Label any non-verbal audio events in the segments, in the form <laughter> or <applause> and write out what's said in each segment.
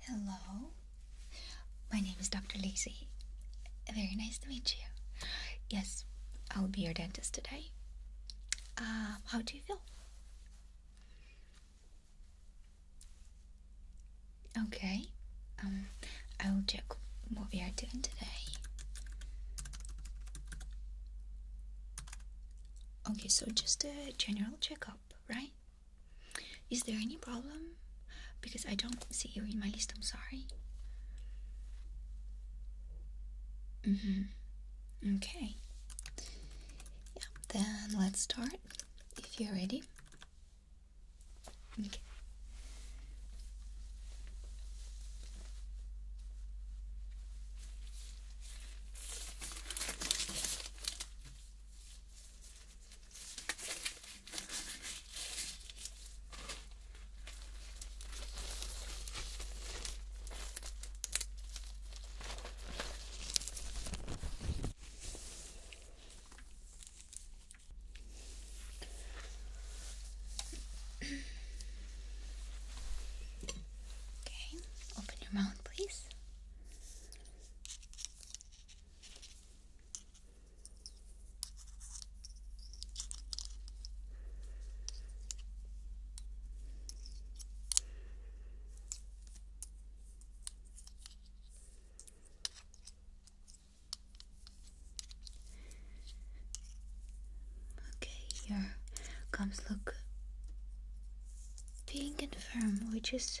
Hello, my name is Dr. Lacey. Very nice to meet you. Yes, I'll be your dentist today. Uh, how do you feel? Okay, um, I will check what we are doing today. Okay, so just a general checkup, right? Is there any problem? Because I don't see you in my list, I'm sorry. Mm-hmm. Okay. Yeah, then let's start if you're ready. Okay. Okay, open your mouth, please. Okay, here comes look. Being and firm, which is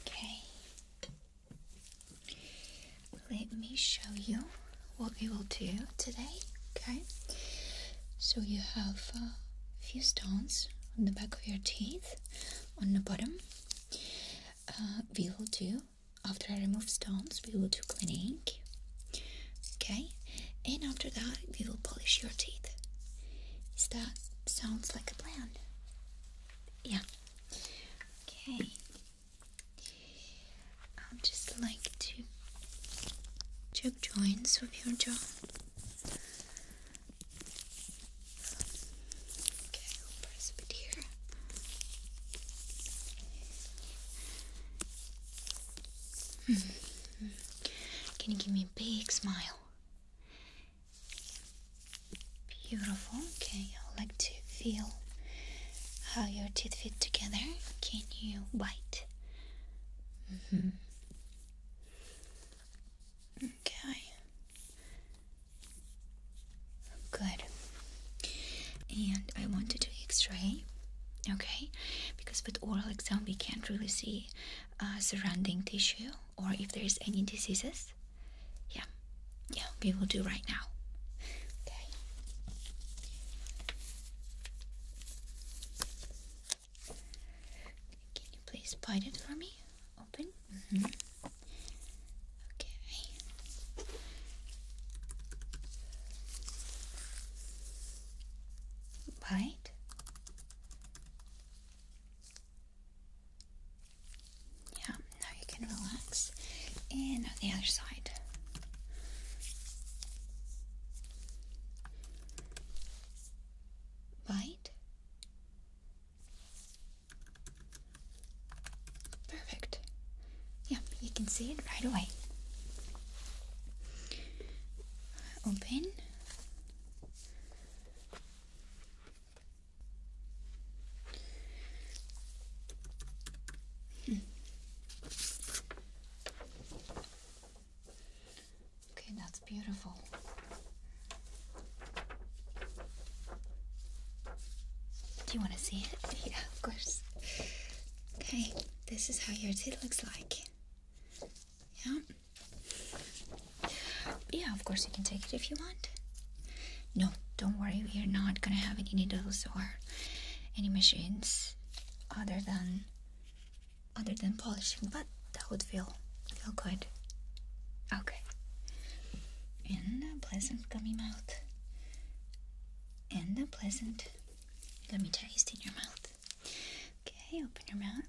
Okay. Let me show you what we will do today. Okay. So you have a few stones on the back of your teeth, on the bottom. Uh, we will do after I remove stones, we will do cleaning. Okay, and after that, we will polish your teeth. Start. Sounds like a plan. Yeah. Okay. I'll just like to check joints of your jaw. Okay, press a here. Hmm. Can you give me a big smile? Beautiful. Okay, I'd like to feel how your teeth fit together. Can you bite? Mm-hmm. Okay. Good. And I want to do X-ray. Okay, because with oral exam we can't really see uh, surrounding tissue or if there is any diseases yeah yeah we will do right now okay can you please bite it for me open mm-hmm. okay bite yeah, now you can relax. And on the other side. Bite. Perfect. Yeah, you can see it right away. Open okay, that's beautiful. Do you want to see it? <laughs> Yeah, of course. Okay, this is how your teeth looks like. Yeah. Yeah, of course you can take it if you want. No, don't worry, we are not gonna have any needles or any machines other than other than polishing, but that would feel feel good. Okay. And a pleasant gummy mouth. And a pleasant gummy taste in your mouth. Okay, open your mouth.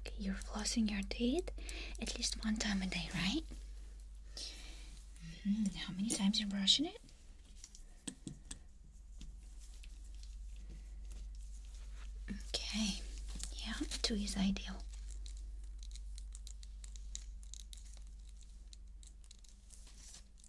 Okay, you're flossing your teeth at least one time a day, right? Hmm, how many times you're brushing it? Okay, yeah, two is ideal.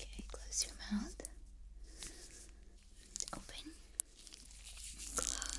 Okay, close your mouth. Open, close, open.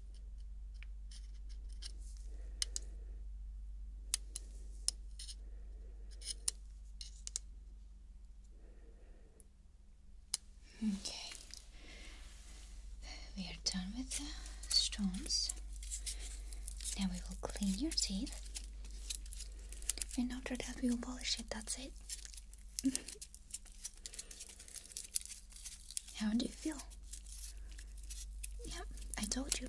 Okay, we are done with the stones. Now we will clean your teeth, and after that, we will polish it. That's it. <laughs> How do you feel? Yeah, I told you.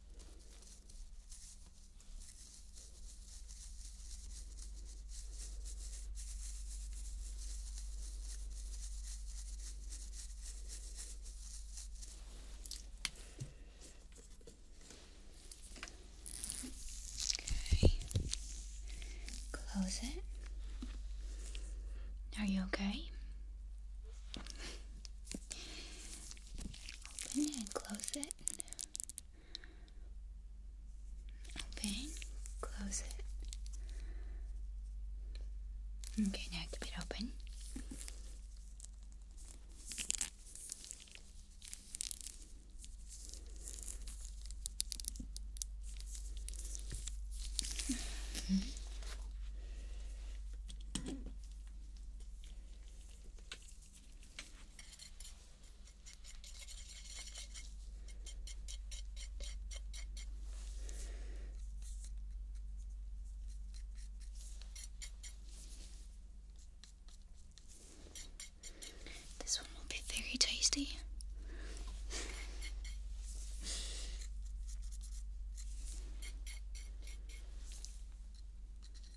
Okay. Close it. Are you okay? Open and close it. Open, close it. Okay, now keep it open. This one will be very tasty. Okay,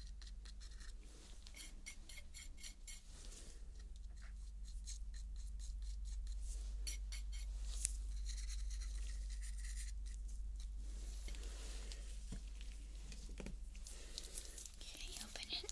open it.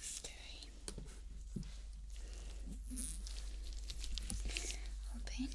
Stirring. Open. Good.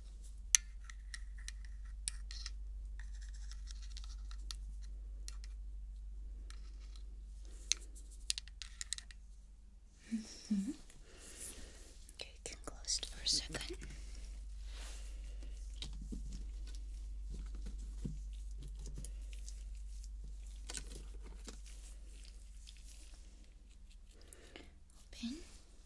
Mm -hmm. Okay, can close it for a second. Open.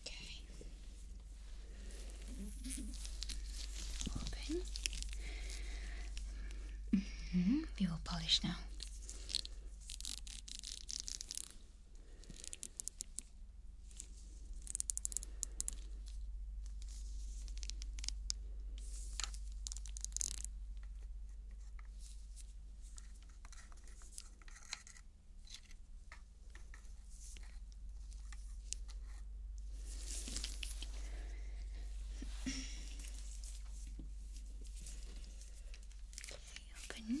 Okay. Open. Mm-hmm. We will polish now. Okay, open.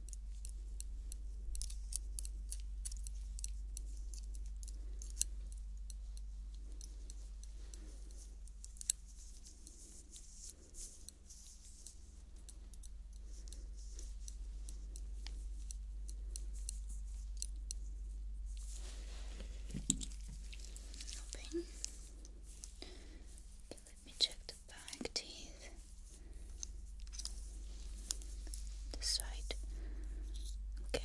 Nothing. Okay, let me check the back teeth. This side. Okay.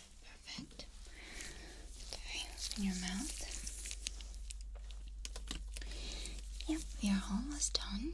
Perfect. Okay, in your mouth. Yep, we are almost done.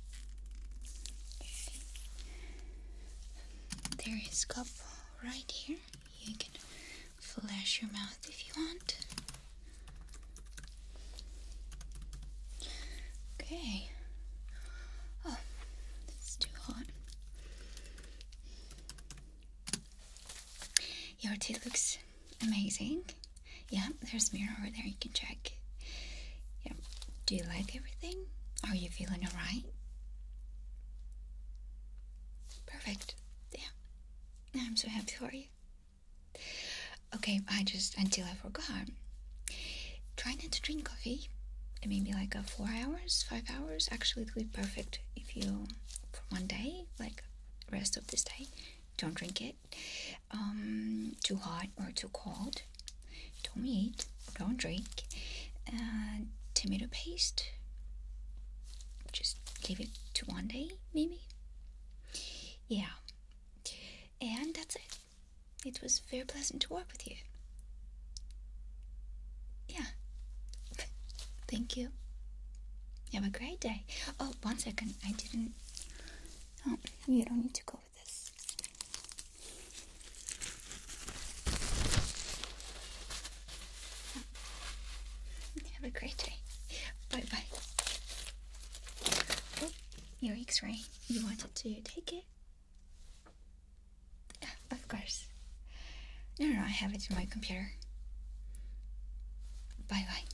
Okay. There is cup right here. You can flash your mouth if you want. Okay. Oh, it's too hot. Your teeth looks amazing. Yeah, there's a mirror over there you can check. Yeah. Do you like everything? Are you feeling alright? Perfect. Yeah. I'm so happy for you. Okay, I just until I forgot. Try not to drink coffee. Maybe like a four hours, five hours. Actually, it would be perfect if you for one day, like rest of this day, don't drink it um, too hot or too cold. Don't eat, don't drink. Uh, tomato paste. Just leave it to one day, maybe. Yeah. And that's it. It was very pleasant to work with you. Yeah. <laughs> Thank you. Have a great day. Oh, one second. I didn't. Oh, you don't need to go. <laughs> Have a great day. Bye bye. your x ray. You wanted to take it? Of course. No, no, I have it in my computer. Bye bye.